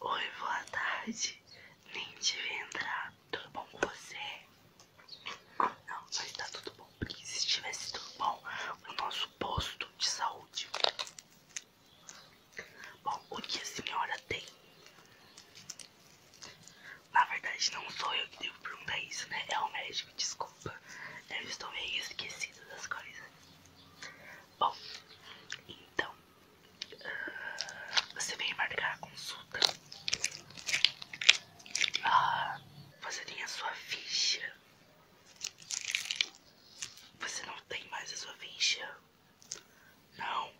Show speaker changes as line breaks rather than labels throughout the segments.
Oi, boa tarde. Nem devia entrar. Tudo bom com você? Não, mas estar tá tudo bom, porque se estivesse tudo
bom, o nosso posto de saúde. Bom, o que a senhora tem? Na verdade, não sou eu que devo perguntar isso, né? É o médico, desculpa. Eu estou meio esquecido das coisas. Bom,
então, ah, você vem marcar a consulta. Ah, você tem a sua ficha. Você não tem mais a sua ficha? Não?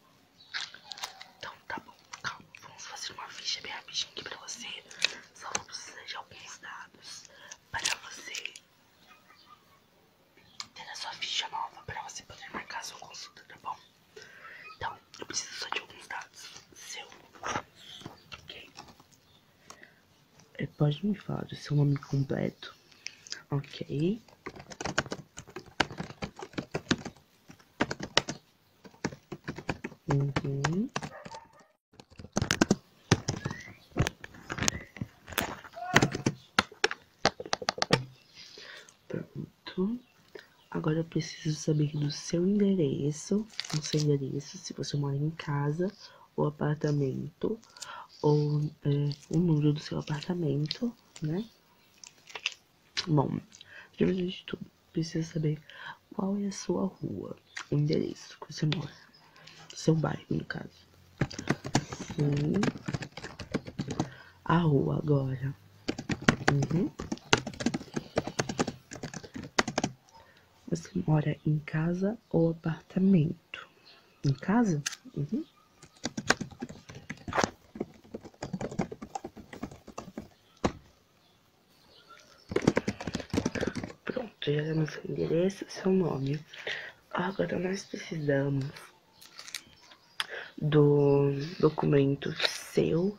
Então tá bom, calma. Vamos fazer uma ficha bem rapidinho aqui pra você. Só vou precisar de alguns dados para você ter a sua ficha nova pra você poder marcar a sua consulta, tá bom? Então, eu preciso só de alguns dados seus. Ok?
É, pode me falar do seu nome completo? Ok. Uhum. Pronto. Agora eu preciso saber do seu endereço isso, aconselharia isso se você mora em casa ou apartamento, ou é, o número do seu apartamento, né? Bom, primeiro de tudo, precisa saber qual é a sua rua, o endereço que você mora, seu bairro, no caso. Sim, hum. a rua agora. Uhum. Você mora em casa ou apartamento? Em casa? Uhum. Pronto, já demos seu endereço seu nome. Agora nós precisamos do documento seu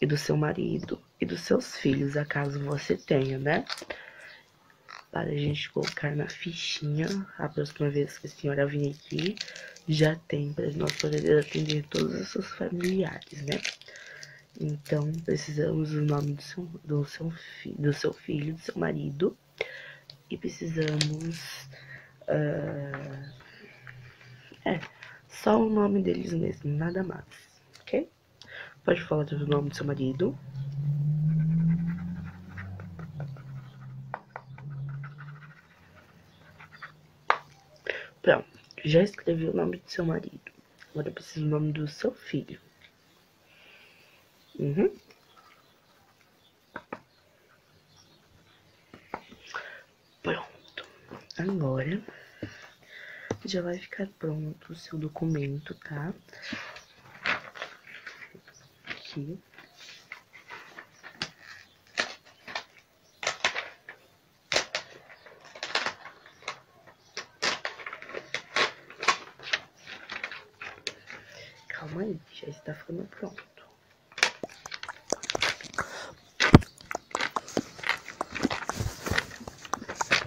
e do seu marido e dos seus filhos, acaso você tenha, né? Para a gente colocar na fichinha, a próxima vez que a senhora vier aqui, já tem para nós poder atender todos os seus familiares, né? Então, precisamos do nome do seu, do seu, filho, do seu marido, e precisamos. Ah, é, só o nome deles mesmo, nada mais, ok? Pode falar do nome do seu marido? Pronto, já escrevi o nome do seu marido. Agora eu preciso do nome do seu filho. Uhum. Pronto. Agora já vai ficar pronto o seu documento, tá? Calma aí, já está ficando pronto.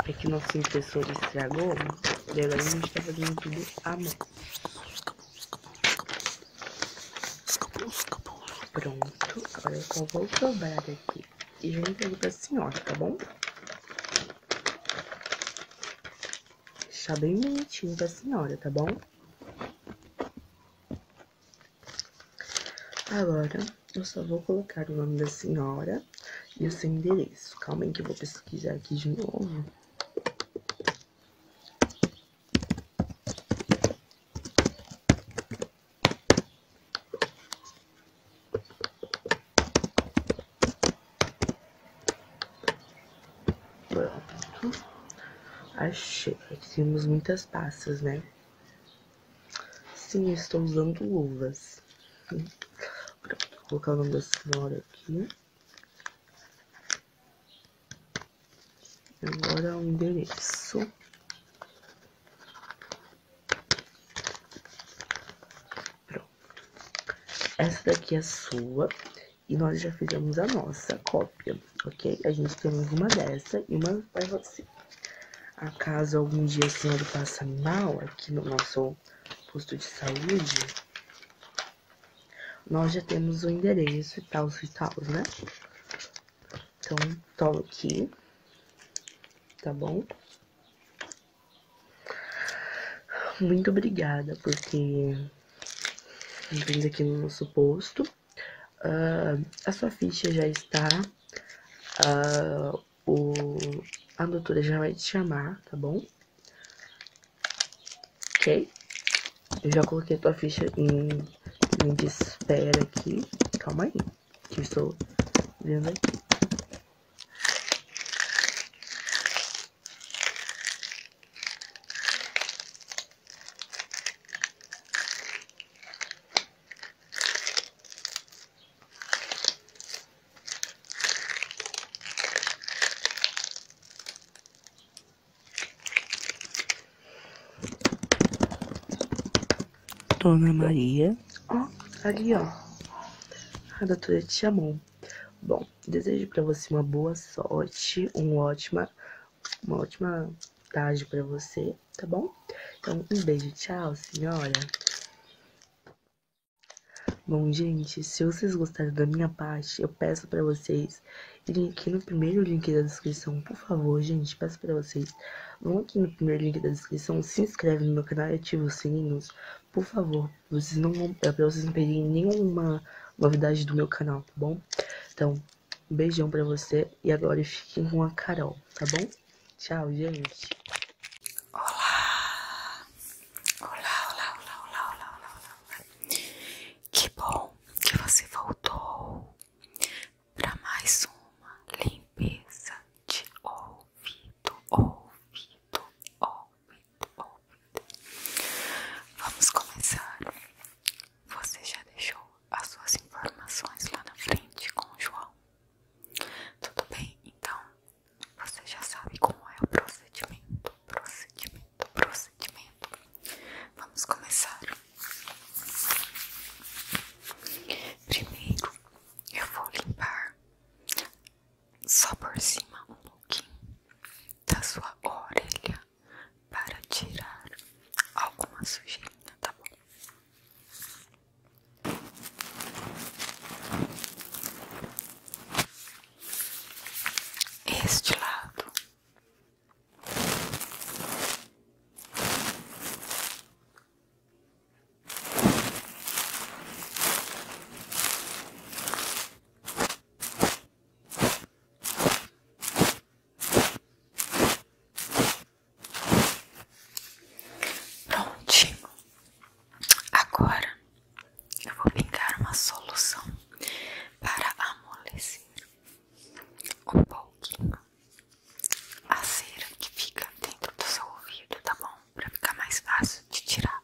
É que nosso impressor estragou e agora a gente tá fazendo tudo à mão. Pronto, agora eu só vou dobrar aqui e já entrego pra senhora, tá bom? Deixar bem bonitinho pra senhora, tá bom? Agora, eu só vou colocar o nome da senhora e o seu endereço. Calma que eu vou pesquisar aqui de novo. Pronto. Achei. Temos muitas passas, né? Sim, estou usando luvas. Vou colocar o nome da senhora aqui. Agora o endereço. Pronto. Essa daqui é sua. E nós já fizemos a nossa cópia, ok? A gente temos uma dessa e uma vai você. Assim. Acaso algum dia a senhora passa mal aqui no nosso posto de saúde? Nós já temos o endereço e tal, e tal, né? Então, toma aqui. Tá bom? Muito obrigada porque vem aqui no nosso posto. Ah, a sua ficha já está. Ah, o, a doutora já vai te chamar, tá bom? Ok? Eu já coloquei a tua ficha em linha de espera aqui. Calma aí, que eu estou vendo aqui. Dona Maria. Ó, ali, ó. A doutora te chamou. Bom, desejo para você uma boa sorte, um ótima, uma ótima tarde para você tá bom? Então, um beijo, tchau, senhora. Bom, gente, se vocês gostaram da minha parte, eu peço para vocês irem aqui no primeiro link da descrição, por favor, gente, peço para vocês. Vão aqui no primeiro link da descrição, se inscreve no meu canal e ativa os sininhos, por favor. Vocês não é pra vocês não perderem nenhuma novidade do meu canal, tá bom? Então, um beijão para você e agora fiquem com a Carol, tá bom? Tchau, gente. Olá. Olá, olá,
olá, olá, olá, olá, olá. Que bom que você voltou para mais uma limpeza de ouvido, ouvido, ouvido, ouvido. Vamos começar. Você já deixou as suas informações lá na frente com o João? Tudo bem? Então, você já sabe como é o procedimento, procedimento, procedimento. Vamos começar. Primeiro, eu vou limpar só por cima um pouquinho da sua orelha para tirar alguma sujeira tá bom? Este lado. Prontinho. Agora eu vou pingar uma solução para amolecer um pouquinho a cera que fica dentro do seu ouvido, tá bom? Para ficar mais fácil de tirar.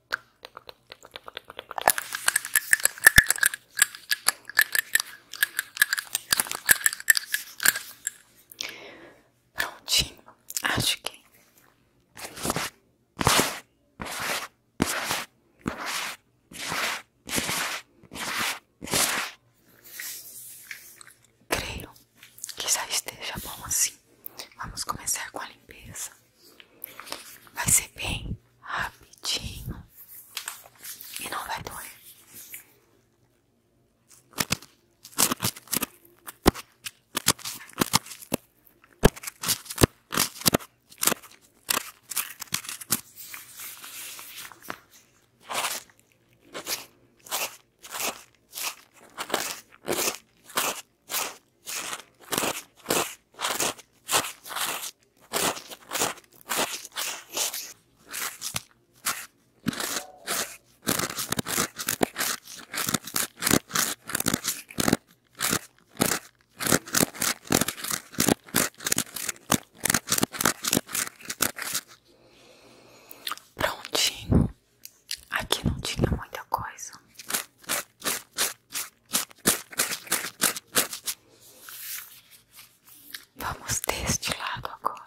Prontinho, acho que creio que já esteja bom assim. Vamos começar com a limpeza. Vai ser bem rapidinho e não vai doer. Prontinho, aqui não tinha muita coisa. Vamos deste lado agora.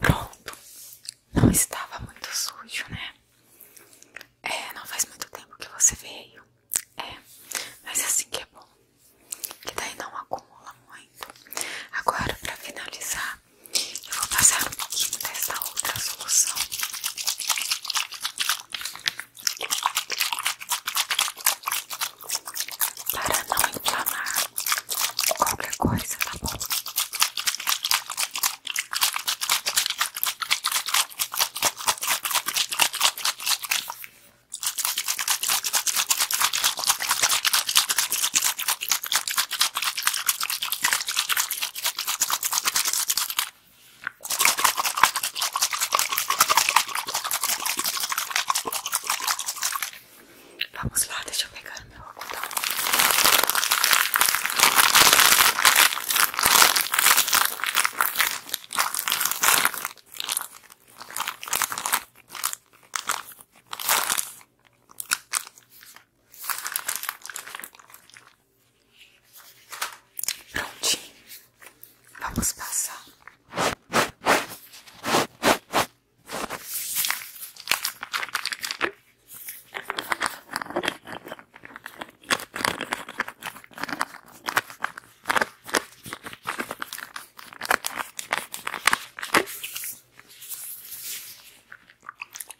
Pronto, não estava muito sujo, né? É, não faz muito tempo que você veio. É, mas é assim que é bom, que daí não acumula muito. Agora, para finalizar, eu vou passar um pouquinho dessa outra solução para não inflamar qualquer coisa, tá bom? Vamos lá, deixa eu pegar meu algodão. Prontinho. Vamos passar.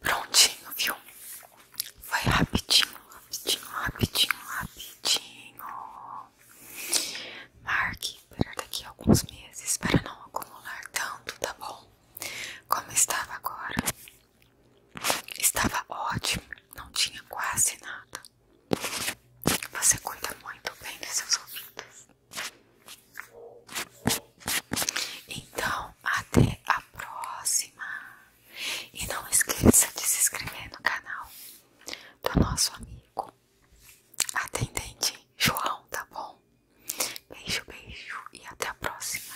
Prontinho, viu? Foi rapidinho, rapidinho, rapidinho, rapidinho. Marque para daqui a alguns meses para não acumular tanto, tá bom? Como estava agora? Estava ótimo, não tinha quase nada. Você cuida muito bem dos seus ouvidos. Então, até a próxima. E não esqueça de se inscrever no canal do nosso amigo atendente João, tá bom? Beijo, beijo e até a próxima.